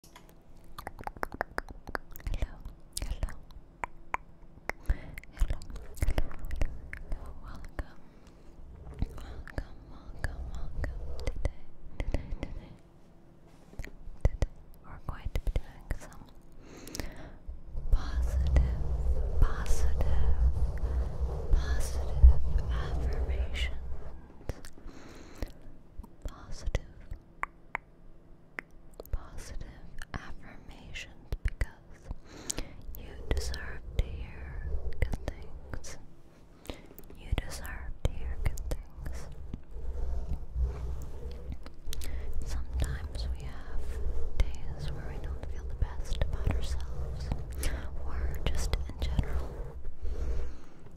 Hello, hello, hello, hello, welcome, welcome, welcome, welcome. Today, today, today, today, we're going to be positive, positive, positive affirmations. Positive positive affirmations because you deserve to hear good things. You deserve to hear good things. Sometimes we have days where we don't feel the best about ourselves, or just in general.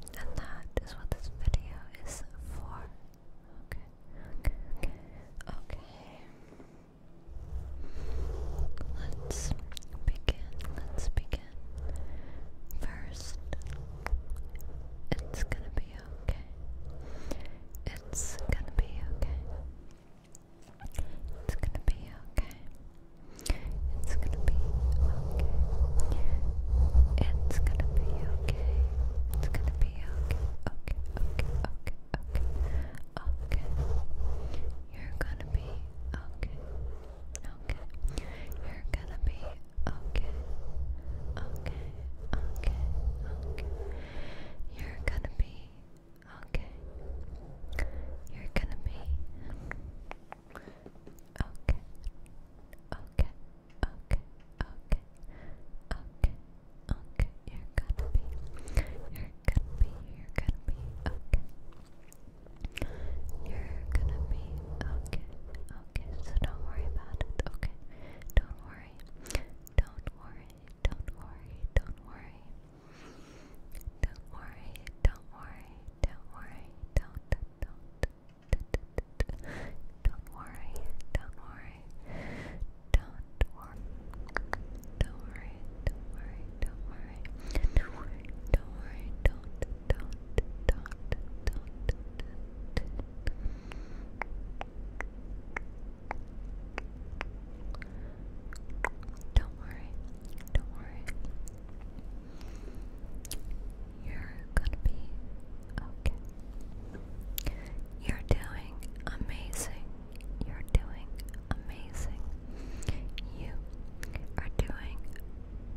And that is what this video is for. Okay, okay, okay, Let's begin, let's begin. First, it's gonna be okay. It's gonna be okay. It's gonna be okay. It's gonna be it's gonna be okay. It's gonna be okay. Okay, okay, okay, okay. Okay. You're gonna be okay. Okay. You're gonna be okay. Okay. Okay. Okay. You're gonna be okay. You're gonna be okay. Okay okay, okay, okay, okay. You're gonna be, you're gonna be, you're gonna be okay. You're gonna be okay, okay. So don't worry about it, okay? Don't worry, don't worry, don't worry, don't worry. Don't worry, don't worry, don't worry, don't, don't, don't worry, don't worry. Don't worry. Don't worry, don't worry, don't worry. Don't worry, don't worry, don't, don't, don't, don't, don't. Don't worry, don't worry. You're gonna be okay. You're doing amazing. You're doing amazing. You are doing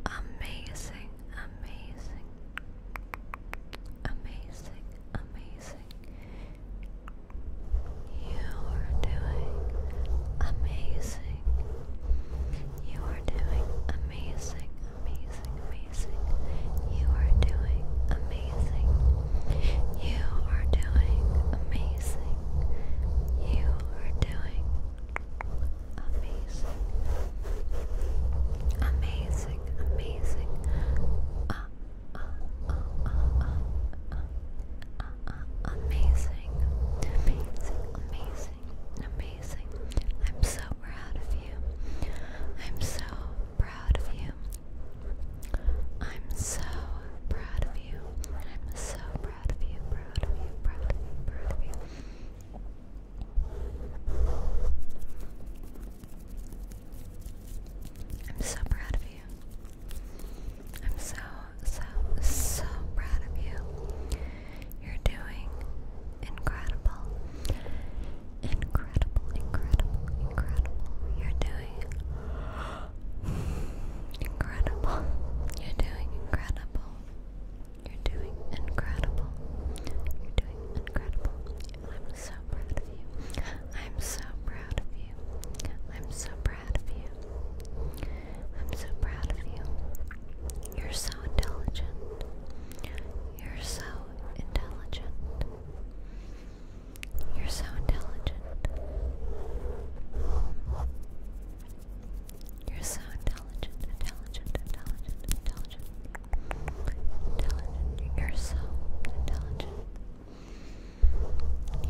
amazing, amazing, amazing, amazing. You are doing amazing. You are doing amazing, amazing, amazing. You are doing amazing. You are doing amazing. You are doing amazing. Amazing, amazing. Uh, uh, uh, uh, uh, uh, amazing, amazing, amazing, amazing. I'm so proud of you. I'm so proud of you. I'm so proud of you. I'm so proud of you, proud of you, proud of you, proud of you. I'm so proud of you. I'm so, so, so proud of you. You're doing incredible. Incredible, incredible, incredible. You're doing incredible. You're doing incredible. You're doing incredible. You're doing incredible. I'm so proud of you. I'm so proud of you. I'm so proud of you. I'm so proud of you. You're so intelligent. You're so intelligent. You're so intelligent. You're so intelligent, intelligent, intelligent, intelligent. Intelligent. You're so intelligent.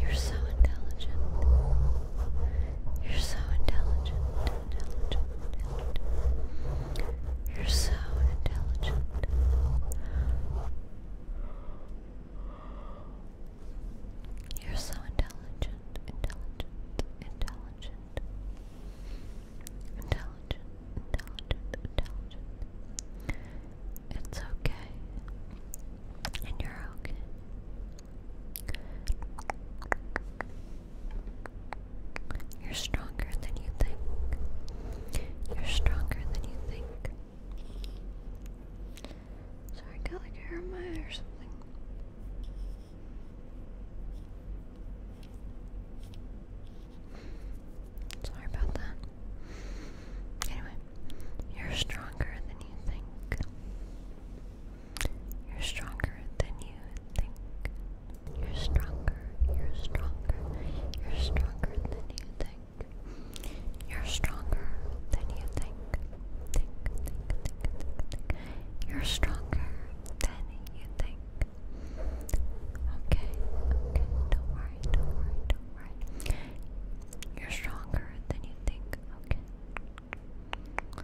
You're so intelligent. You're so intelligent. You're so intelligent. You're so intelligent, intelligent, intelligent. Intelligent, intelligent, intelligent. It's okay. And you're okay. You're stronger than you think. You're stronger than you think. So I got like hair in my eye or something. Sorry about that. Anyway, you're stronger than you think. You're stronger than you think. You're stronger, you're stronger, you're stronger than you think. You're stronger than you think. Think, think, think, think, think. You're stronger than you think. Okay, okay, don't worry, don't worry, don't worry. You're stronger than you think. Okay, Relax, relax,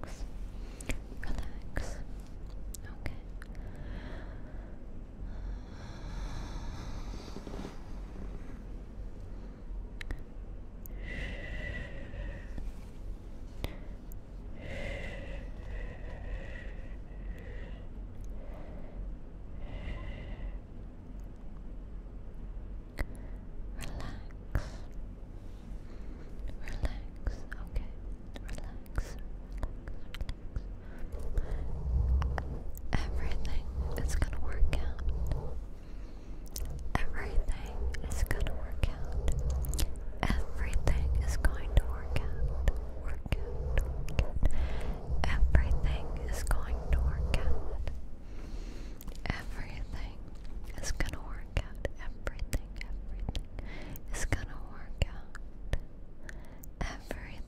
relax. Okay. Relax. Relax. Relax. Okay. Relax. Everything is gonna work out. Everything is gonna work out. Everything is going to work out. Work out. Work out. Everything is going to work out. Everything is gonna work out. Everything, everything is gonna work out. Everything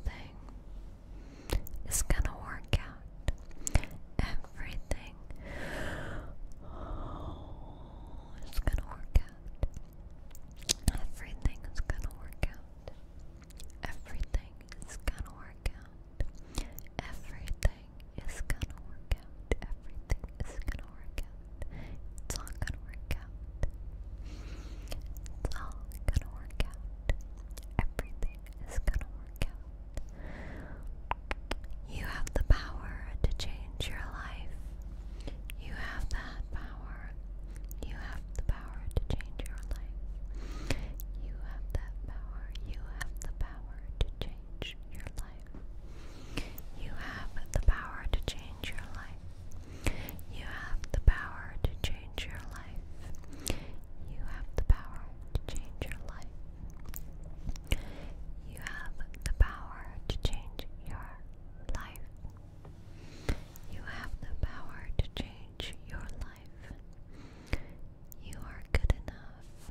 is gonna work out. Everything oh, is gonna work out. Everything is gonna work out. Everything is gonna work out. Everything is gonna work out. Everything is gonna work out. It's all gonna work out. It's all gonna work out. Everything is gonna work out. You have the power to change your life. You have that power. You have the power to change your life. You have that power. You have the power to change your life. You have the power to change your life. You have the power to change your life. You have the power to change your life. You have the power to change your life. You have the power to change your life. You are good enough.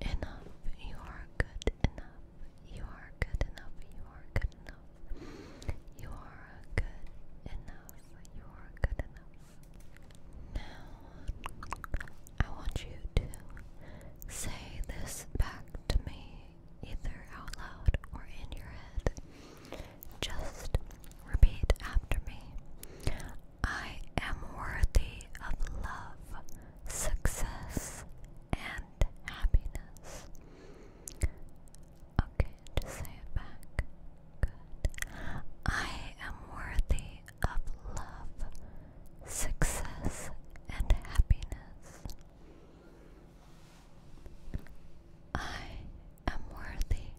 Enough. You are good enough. You are good enough. You are good enough. You are good enough. You are good enough. Now, I want you to say this back to me, either out loud or in your head. Just repeat after me. I am worthy of love, success, and happiness. Okay, just say it back. Good. I am worthy of love, success, and happiness. I am worthy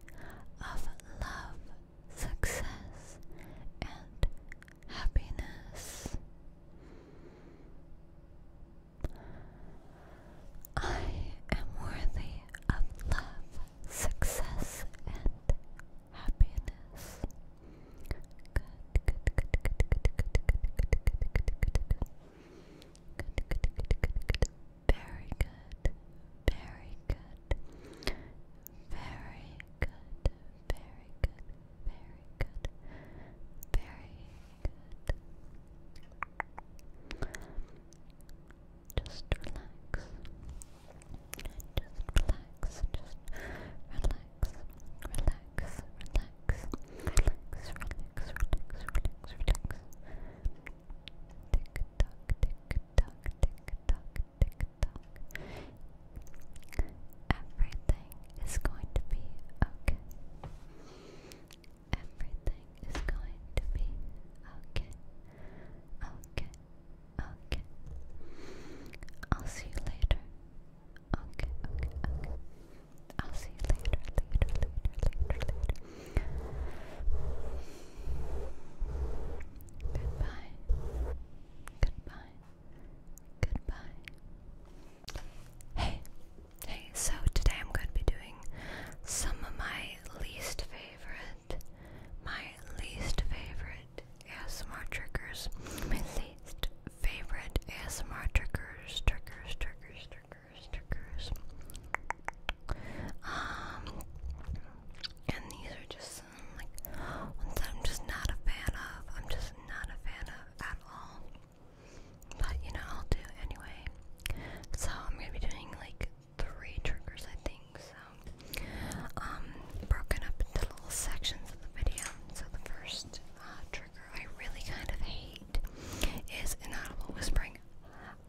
of love, success, and happiness. I am worthy of love, success, and happiness. Good, good, good, good, good, good, good, good, good, good, good. Good, good, good, good, good. Very good. Very good. Very good, very good, very good, very good. Just relax. Just relax, just relax, relax, relax, relax, relax, relax, relax, relax. Tick tock, tick tock, tick tock, tick tock. Everything is going to be okay. Everything is going to be okay. Okay. Okay. I'll see you later. Okay, okay, okay. I'll see you later, later, later, later, later. Goodbye. Goodbye. Goodbye. Hey. Hey, so today I'm going to be doing some of my least favorite, my least favorite ASMR triggers. My least favorite ASMR triggers, triggers, triggers, triggers, triggers. Um, and these are just like ones I'm just not a fan of. I'm just not a fan of at all. But you know, I'll do anyway. So I'm gonna be doing like three triggers, I think. So, um, broken up into little sections of the video. So the first uh, trigger I really kind of hate is inaudible whispering.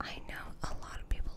I know a lot of people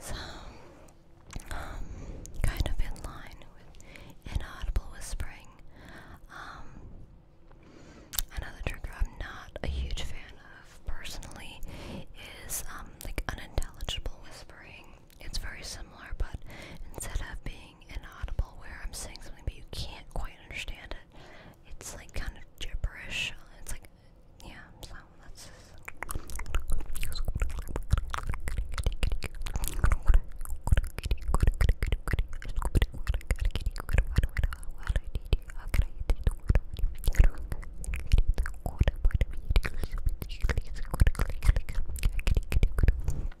So, um, kind of in line with inaudible whispering. Um, another trigger I'm not a huge fan of personally is um, like unintelligible whispering. It's very similar, but instead of being inaudible where I'm saying something but you can't quite understand it, it's like kind of gibberish. It's like, yeah, so that's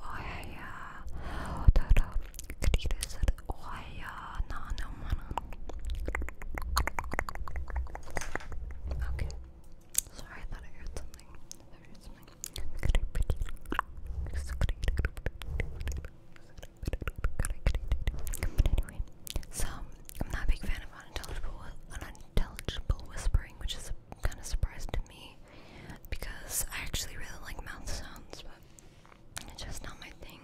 وحياة وترى كثير صدق وحياة نانا ومانا Okay. Sorry, I thought I heard something. I heard something. But anyway, so I'm not a big fan of unintelligible, unintelligible whispering, which is a kind of surprised to me because I actually really like mouth sounds, but it's just not my thing.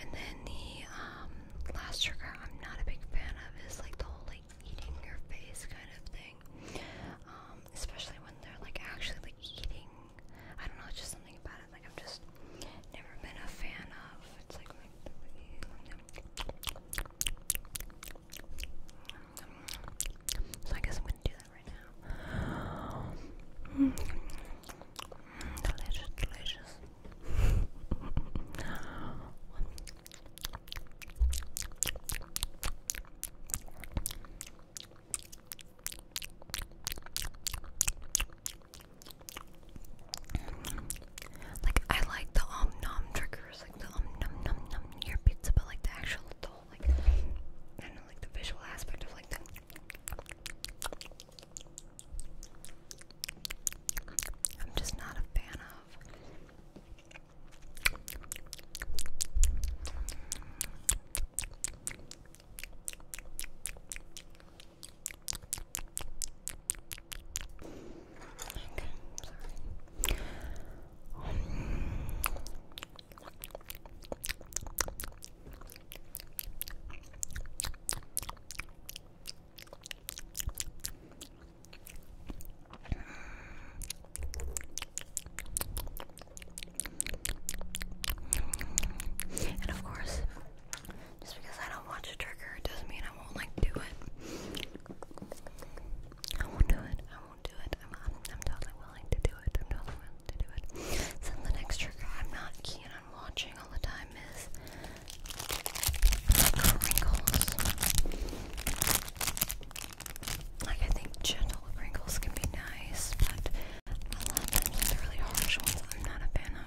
And then the um, last trigger I'm not a big fan of is like the whole like eating your face kind of thing, um, especially when they're like actually like eating. I don't know, it's just something about it. Like I've just never been a fan of. It's like. So I guess I'm gonna do that right now. Mm. delicious, delicious. Like I like the om um, nom trigger flavors, like the um num num num near pizza, but like the actual like I don't know, like the visual aspect of like the. I'm just not a fan of. Okay, sorry. and of course, just because I don't watch a trigger doesn't mean I won't like do it. I won't do it. I won't do it. I'm, I'm, I'm totally willing to do it. I'm totally willing to do it. So the next trigger I'm not keen on watching all the time is crinkles. Like I think gentle wrinkles can be nice, but a lot of times with the really harsh ones I'm not a fan of.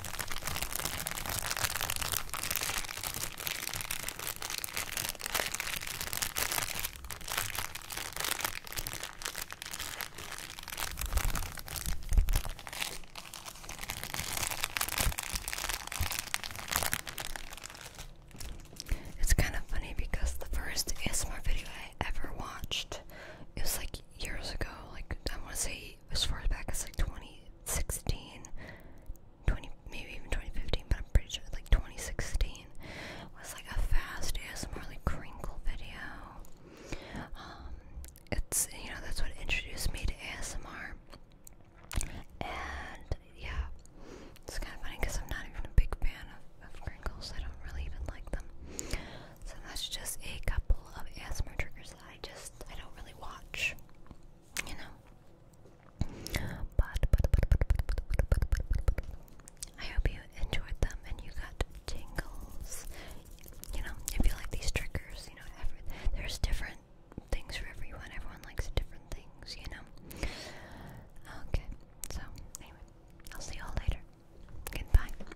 It's kind of funny because the first ASMR video I ever watched, it was like years ago, like I want to say as far back as like 2016, maybe even 2015, but I'm pretty sure like 2016 was like a fast ASMR like crinkle video. Um, it's you know that's what introduced me to ASMR, and yeah, it's kind of funny because I'm not even a big fan of, of crinkles. I don't really even like them. So that's just a couple of ASMR triggers I just I don't really watch, you know. But I hope you enjoyed them and you got tingles. You know, if you like these triggers, you know, there's different things for everyone. Everyone likes different things, you know. Okay, so anyway, I'll see you all later. Goodbye.